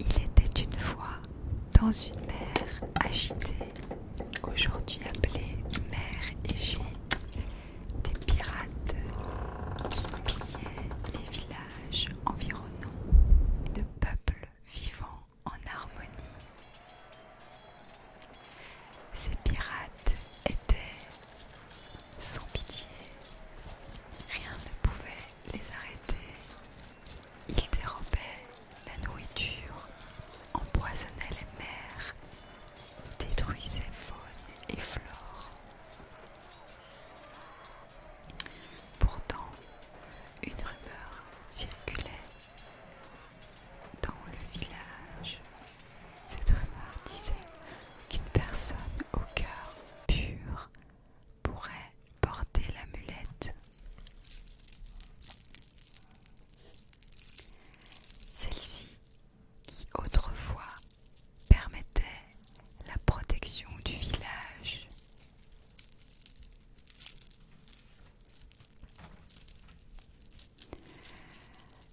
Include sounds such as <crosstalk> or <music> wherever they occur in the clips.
Il était une fois dans une mer agitée, aujourd'hui appelée mer Égée, des pirates qui pillaient les villages environnants de peuples vivants en harmonie. Ces pirates étaient sans pitié, rien ne pouvait les arrêter. Ils dérobaient la nourriture, empoisonnaient les mers, détruisaient faune et flore. Pourtant, une rumeur circulait dans le village. Cette rumeur disait qu'une personne au cœur pur pourrait porter l'amulette. Celle-ci, qui autrefois permettait la protection du village.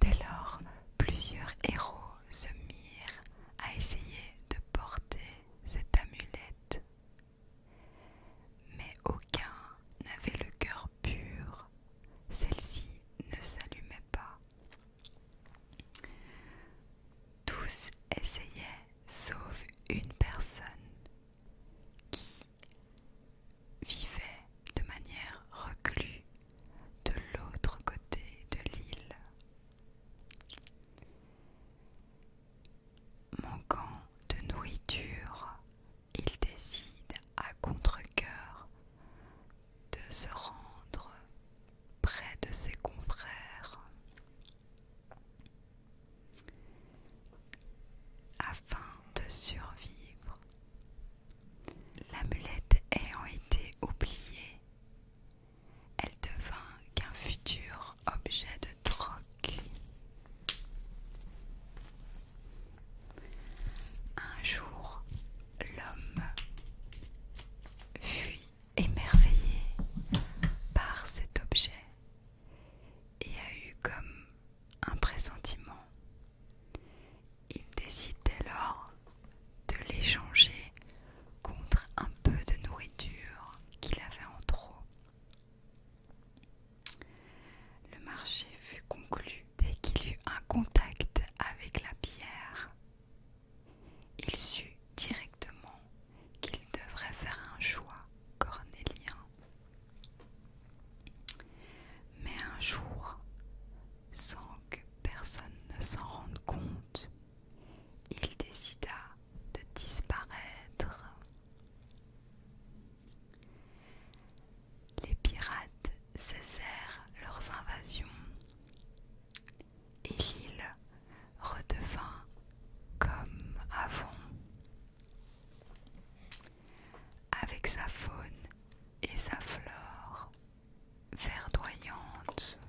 Dès lors, plusieurs héros se mirent à essayer de porter cette amulette, mais aucun n'avait le cœur pur, celle-ci ne s'allumait pas. Tous essayaient, sauf une personne qui vivait de manière reclue de l'autre côté de l'île. Manquant de nourriture, il décide à contre de se rendre près de ses confrères afin de survivre. L'amulette ayant été oubliée, elle devint qu'un futur objet de troc. Un jour, l'homme fut émerveillé par cet objet et a eu comme un pressentiment. Il décide alors de l'échanger contre un peu de nourriture qu'il avait en trop. Le marché fut conclu dès qu'il eut un contact avec la pierre. Il sut directement qu'il devrait faire un choix cornélien. Mais un jour, sans que personne ne s'en rende compte, il décida de disparaître. Les pirates cessèrent leurs invasions et l'île redevint comme avant, avec sa faune et sa flore verdoyante.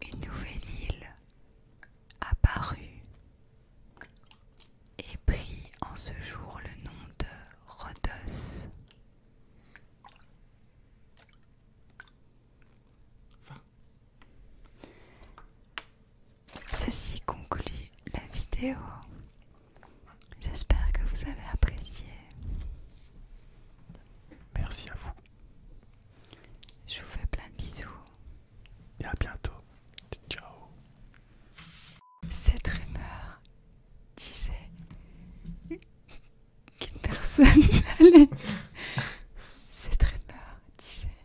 Une nouvelle île apparut et prit en ce jour le nom de Rhodos. Ceci conclut la vidéo. J'espère que vous avez apprécié. Merci à vous. Je vous fais plein de bisous. Et à bientôt. Ciao. Cette rumeur disait qu'une personne <laughs> allait... Cette rumeur disait